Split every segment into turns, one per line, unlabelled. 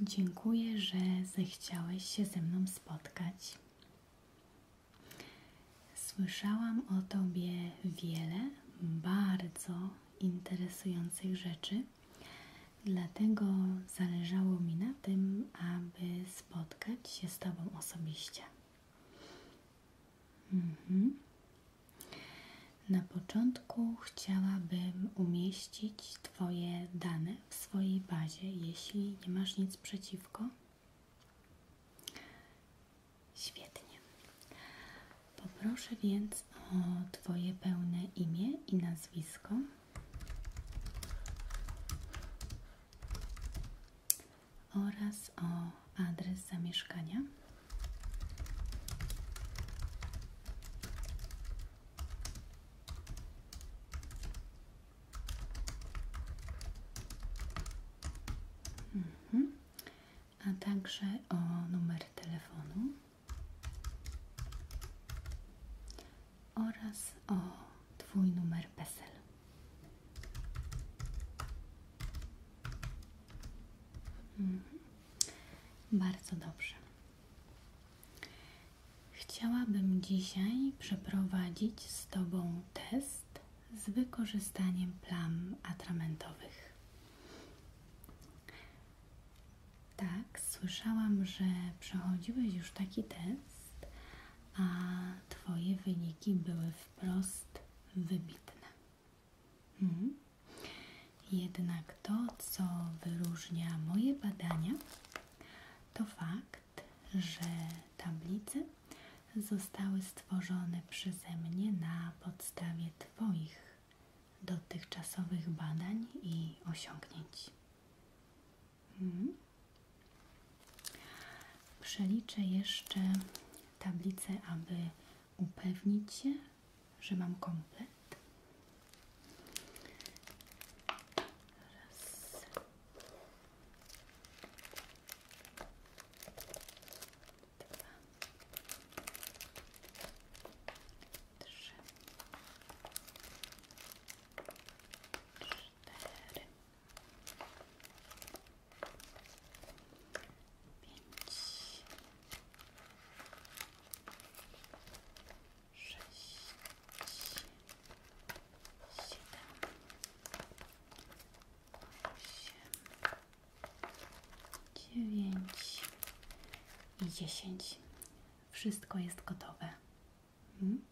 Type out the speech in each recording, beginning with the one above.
Dziękuję, że zechciałeś się ze mną spotkać. Słyszałam o Tobie wiele bardzo interesujących rzeczy, dlatego zależało mi na tym, aby spotkać się z Tobą osobiście. Mhm. Na początku chciałabym umieścić Twoje dane w swojej bazie, jeśli nie masz nic przeciwko. Świetnie. Poproszę więc o Twoje pełne imię i nazwisko. oraz o adres zamieszkania. Mhm. A także o numer telefonu oraz o Twój numer PESEL. Mhm. Bardzo dobrze. Chciałabym dzisiaj przeprowadzić z Tobą test z wykorzystaniem plam atramentowych. Tak, słyszałam, że przechodziłeś już taki test, a Twoje wyniki były wprost wybitne. Mhm. Jednak to, co wyróżnia moje badania, to fakt, że tablice zostały stworzone przeze mnie na podstawie Twoich dotychczasowych badań i osiągnięć. Hmm? Przeliczę jeszcze tablice, aby upewnić się, że mam komplet. Raz. Dwa. Trzy. Cztery. Pięć sześć, siedem, osiem, dziewięć i dziesięć. Wszystko jest gotowe. Hmm?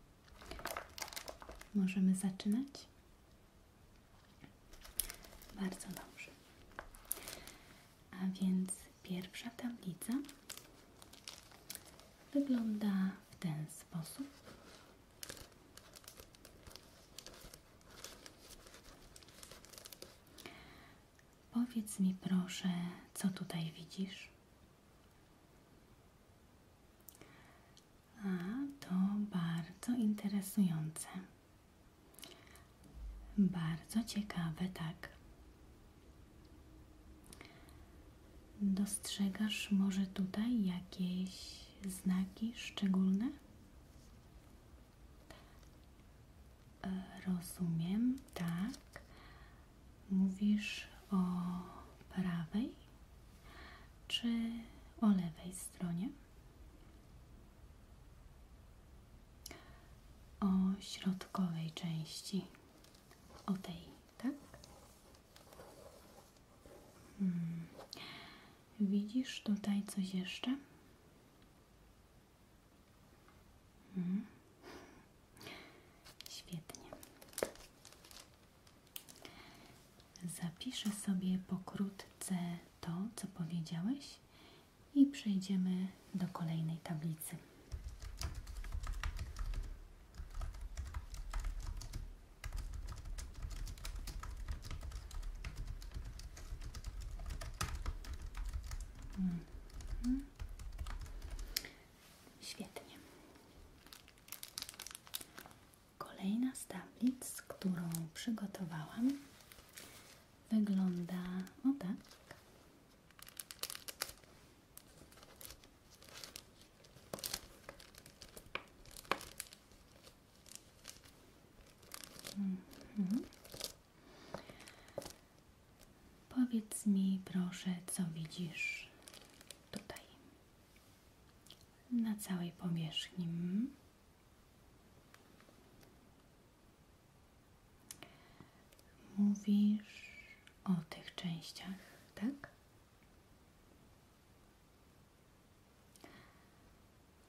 Możemy zaczynać? Bardzo dobrze. A więc pierwsza tablica wygląda w ten sposób. Powiedz mi proszę, co tutaj widzisz? A to bardzo interesujące. Bardzo ciekawe, tak. Dostrzegasz może tutaj jakieś znaki szczególne? Rozumiem, tak. Mówisz o prawej czy o lewej stronie? o środkowej części, o tej, tak? Hmm. Widzisz tutaj coś jeszcze? Hmm. Świetnie. Zapiszę sobie pokrótce to, co powiedziałeś i przejdziemy do kolejnej tablicy. Mhm. Świetnie. Kolejna z którą przygotowałam, wygląda o tak. Mhm. Powiedz mi proszę, co widzisz tutaj na całej powierzchni. Mówisz o tych częściach, tak?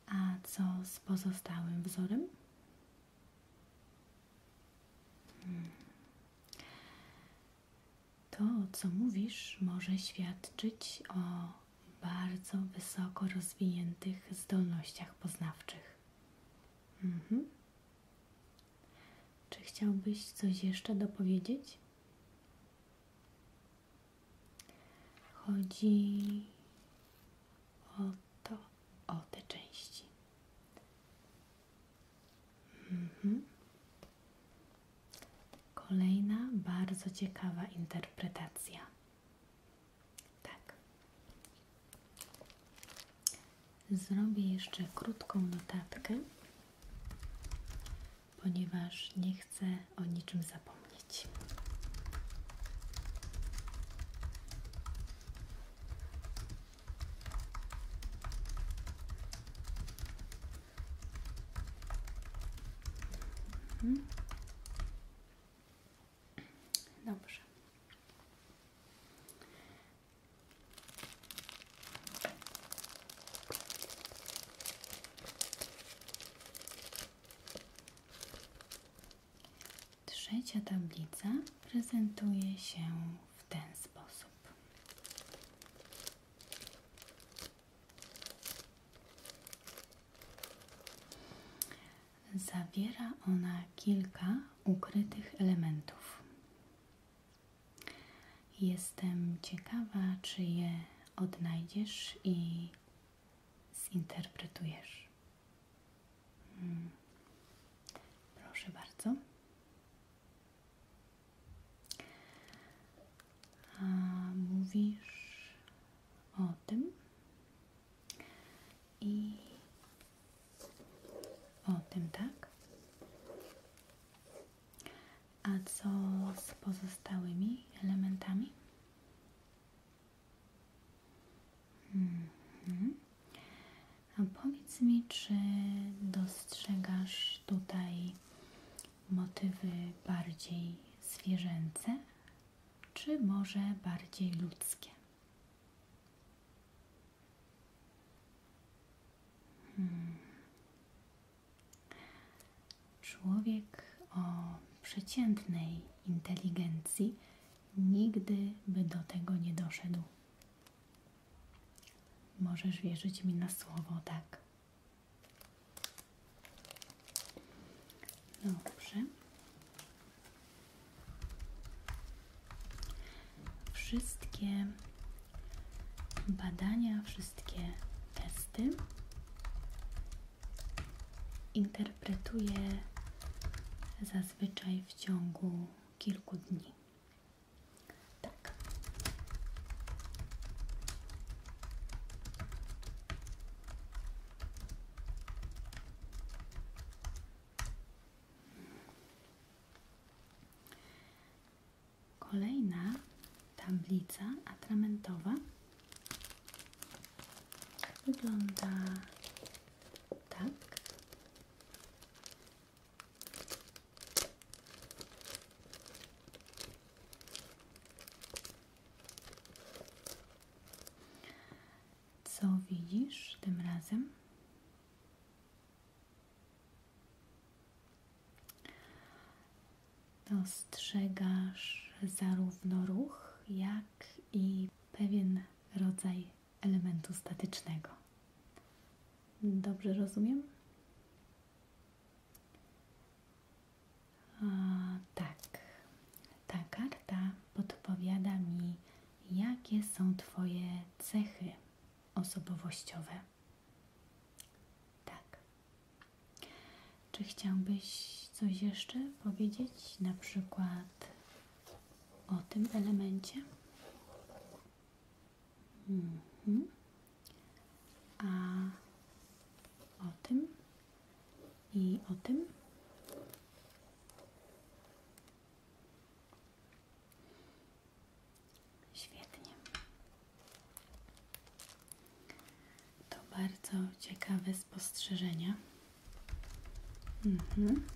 A co z pozostałym wzorem? Hmm. To, co mówisz, może świadczyć o bardzo wysoko rozwiniętych zdolnościach poznawczych. Mhm. Czy chciałbyś coś jeszcze dopowiedzieć? Chodzi o to, o te części. Mhm. Kolejna bardzo ciekawa interpretacja. Tak. Zrobię jeszcze krótką notatkę, ponieważ nie chcę o niczym zapomnieć. Mhm. Trzecia tablica prezentuje się w ten sposób. Zawiera ona kilka ukrytych elementów. Jestem ciekawa, czy je odnajdziesz i zinterpretujesz. Hmm. Proszę bardzo. mówisz o tym, i o tym, tak? A co z pozostałymi elementami? Mhm. A powiedz mi, czy dostrzegasz tutaj motywy bardziej zwierzęce, czy może bardziej ludzkie? Hmm. Człowiek o przeciętnej inteligencji nigdy by do tego nie doszedł. Możesz wierzyć mi na słowo, tak. Dobrze. Wszystkie badania, wszystkie testy interpretuję zazwyczaj w ciągu kilku dni. Tak. Kolejna tablica atramentowa wygląda tak. Co widzisz tym razem? Dostrzegasz zarówno ruch, jak i pewien rodzaj elementu statycznego. Dobrze rozumiem? A, tak, ta karta podpowiada mi, jakie są Twoje cechy osobowościowe. Tak. Czy chciałbyś coś jeszcze powiedzieć, na przykład o tym elemencie? Mhm. A o tym? i o tym. Świetnie. To bardzo ciekawe spostrzeżenia. Mhm.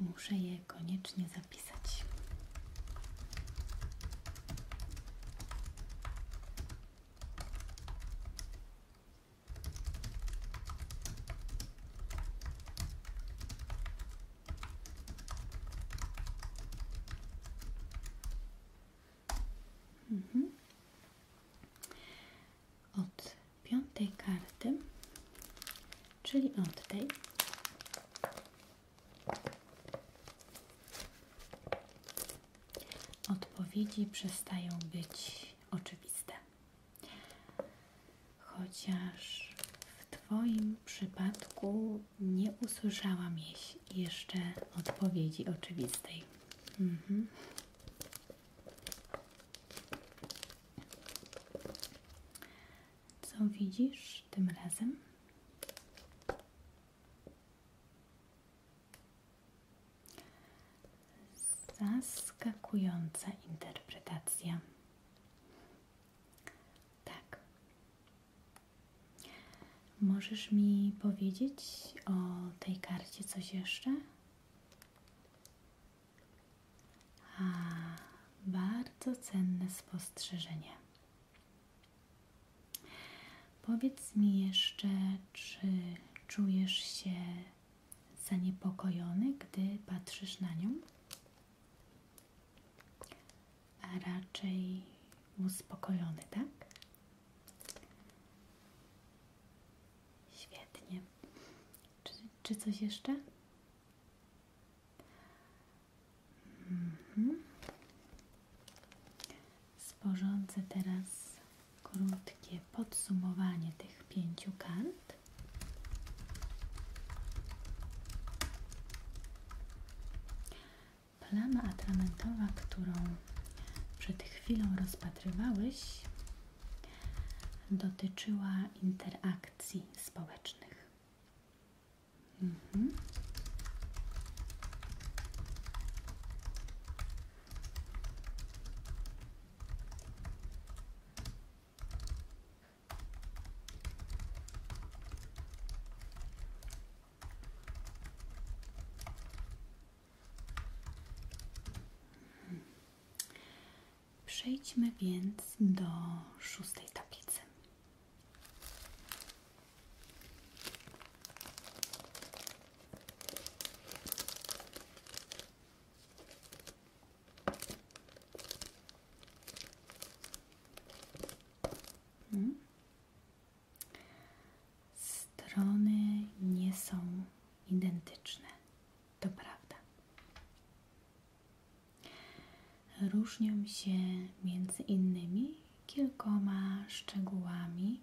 Muszę je koniecznie zapisać. Mhm. Od piątej karty, czyli od tej, odpowiedzi przestają być oczywiste. Chociaż w Twoim przypadku nie usłyszałam jeszcze odpowiedzi oczywistej. Mhm. Co widzisz tym razem? Zaskakująca interpretacja. Tak. Możesz mi powiedzieć o tej karcie coś jeszcze? A, bardzo cenne spostrzeżenie. Powiedz mi jeszcze, czy czujesz się zaniepokojony, gdy patrzysz na nią? A raczej uspokojony, tak? Świetnie. Czy, coś jeszcze? Sporządzę mhm. teraz krótkie podsumowanie tych pięciu kant Plama atramentowa, którą przed chwilą rozpatrywałeś, dotyczyła interakcji społecznych. Mhm. Przejdźmy więc do szóstej tablicy. Strony nie są identyczne, to prawda. Różnią się między innymi kilkoma szczegółami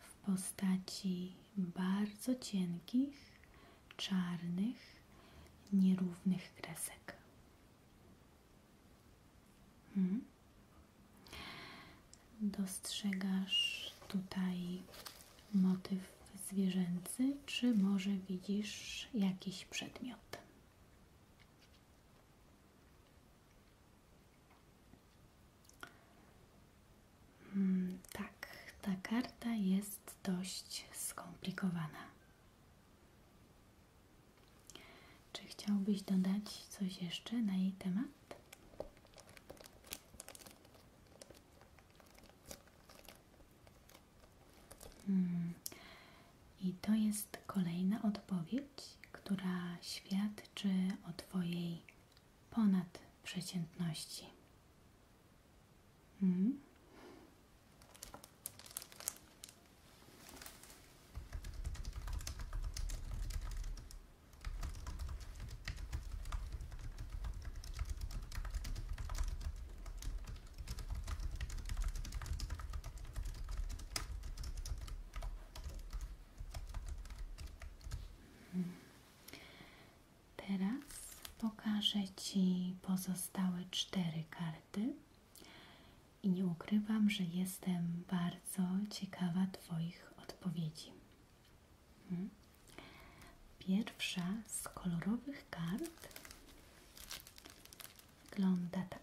w postaci bardzo cienkich, czarnych, nierównych kresek. Hmm? Dostrzegasz tutaj motyw zwierzęcy, czy może widzisz jakiś przedmiot? Hmm, tak, ta karta jest dość skomplikowana. Czy chciałbyś dodać coś jeszcze na jej temat? Hmm. I to jest kolejna odpowiedź, która świadczy o Twojej ponad przeciętności. Mhm. Teraz pokażę Ci pozostałe cztery karty i nie ukrywam, że jestem bardzo ciekawa Twoich odpowiedzi. Mhm. Pierwsza z kolorowych kart wygląda tak.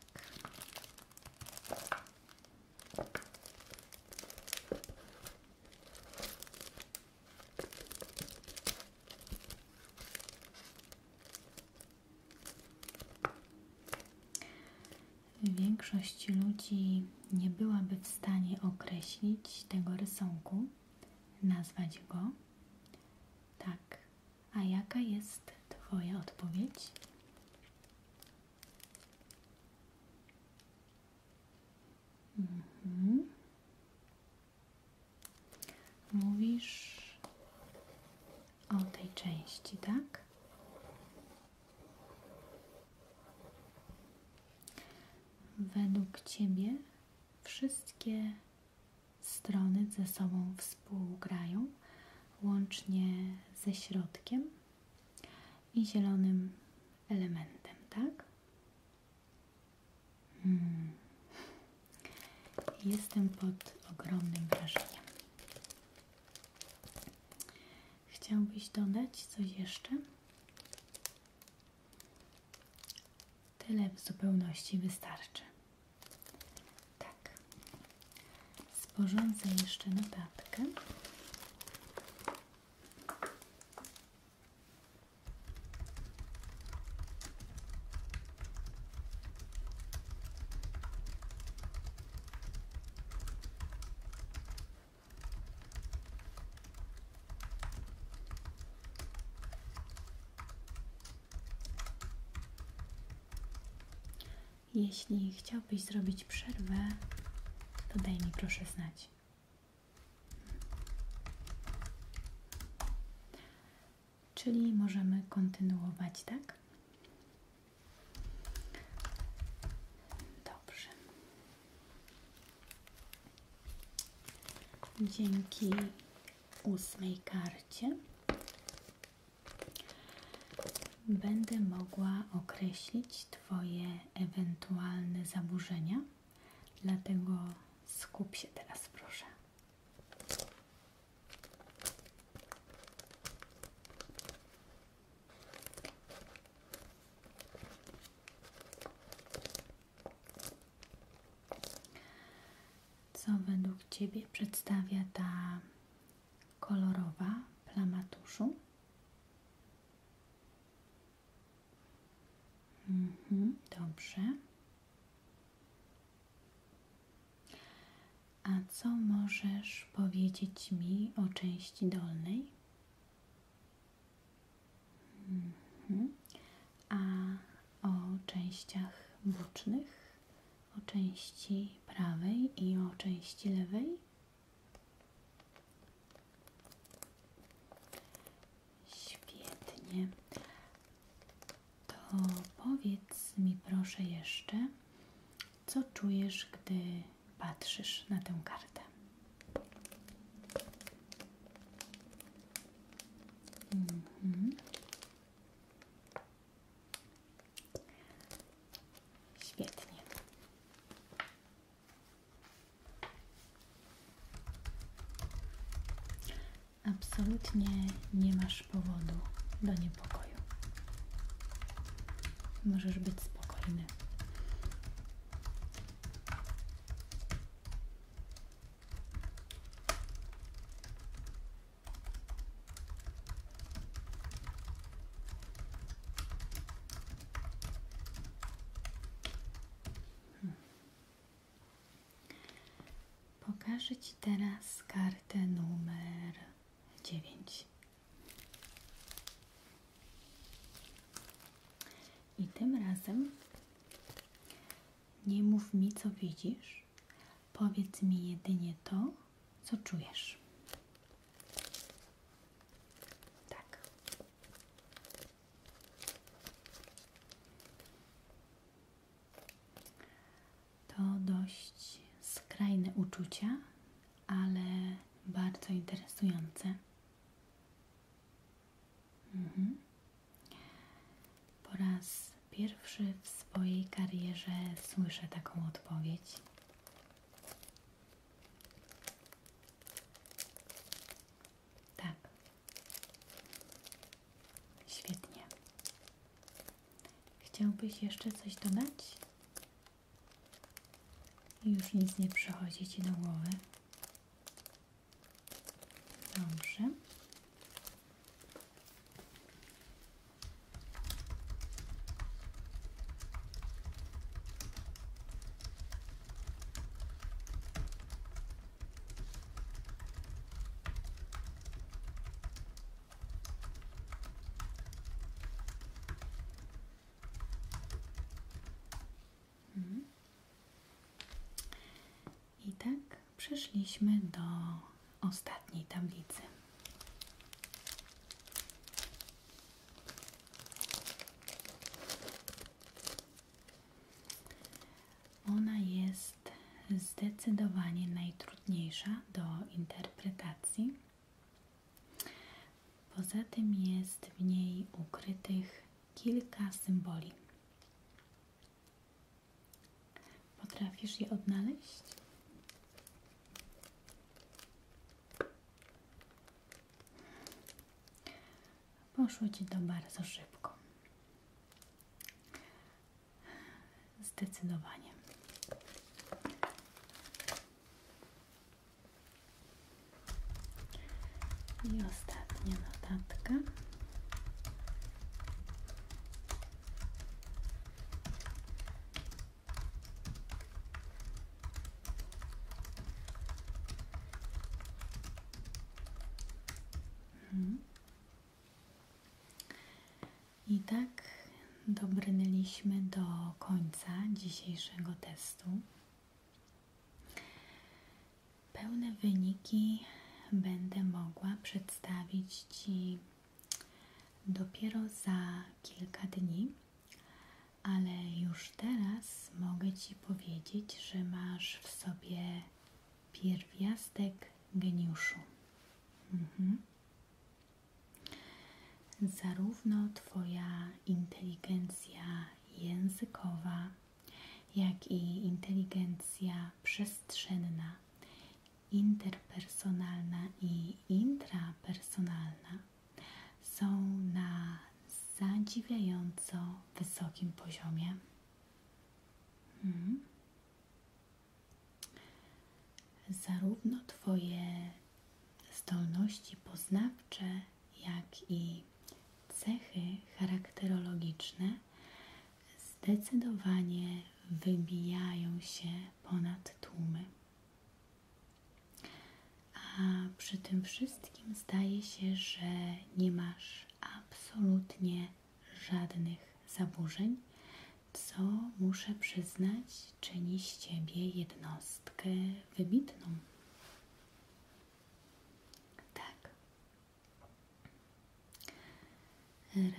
Większość ludzi nie byłaby w stanie określić tego rysunku, nazwać go. Tak, a jaka jest Twoja odpowiedź? Mhm. Mówisz o tej części, tak? Według Ciebie wszystkie strony ze sobą współgrają, łącznie ze środkiem i zielonym elementem, tak? Hmm. Jestem pod ogromnym wrażeniem. Chciałbyś dodać coś jeszcze? Tyle w zupełności wystarczy. Tak, Sporządzę jeszcze notatkę. Jeśli chciałbyś zrobić przerwę, to daj mi proszę znać. Czyli możemy kontynuować, tak? Dobrze. Dzięki ósmej karcie będę mogła określić Twoje ewentualne zaburzenia, dlatego skup się teraz, proszę. Co według Ciebie przedstawia ta kolorowa plama tuszu. Mhm, dobrze. A co możesz powiedzieć mi o części dolnej? Mhm. A o częściach bocznych, o części prawej i o części lewej? Świetnie. To powiedz mi proszę jeszcze, co czujesz, gdy patrzysz na tę kartę? Mhm. Świetnie. Absolutnie nie masz powodu do niepokoju. Możesz być spokojny. Pokażę Ci teraz kartę numer dziewięć. I tym razem nie mów mi, co widzisz, powiedz mi jedynie to, co czujesz. Tak. To dość skrajne uczucia, ale bardzo interesujące. Mhm. Po raz pierwszy w swojej karierze słyszę taką odpowiedź. Tak. Świetnie. Chciałbyś jeszcze coś dodać? Już nic nie przychodzi Ci do głowy. Dobrze. I tak przeszliśmy do ostatniej tablicy. Ona jest zdecydowanie najtrudniejsza do interpretacji. Poza tym jest w niej ukrytych kilka symboli. Potrafisz je odnaleźć? Poszło Ci to szybko. Zdecydowanie. I ostatnia notatka. Mhm. I tak dobrnęliśmy do końca dzisiejszego testu. Pełne wyniki będę mogła przedstawić Ci dopiero za kilka dni, ale już teraz mogę Ci powiedzieć, że masz w sobie pierwiastek geniuszu. Mhm. Zarówno Twoja inteligencja językowa, jak i inteligencja przestrzenna interpersonalna i intrapersonalna są na zadziwiająco wysokim poziomie. Hmm. Zarówno Twoje zdolności poznawcze, jak i cechy charakterologiczne zdecydowanie wybijają się ponad tłumy. A przy tym wszystkim zdaje się, że nie masz absolutnie żadnych zaburzeń, co muszę przyznać, czyni z ciebie jednostkę wybitną. Tak.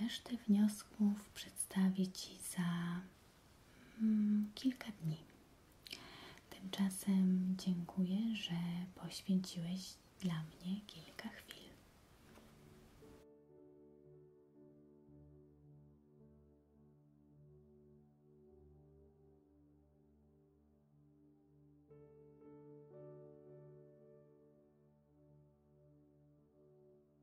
Resztę wniosków przedstawię ci za Mm, kilka dni. Tymczasem dziękuję, że poświęciłeś dla mnie kilka chwil.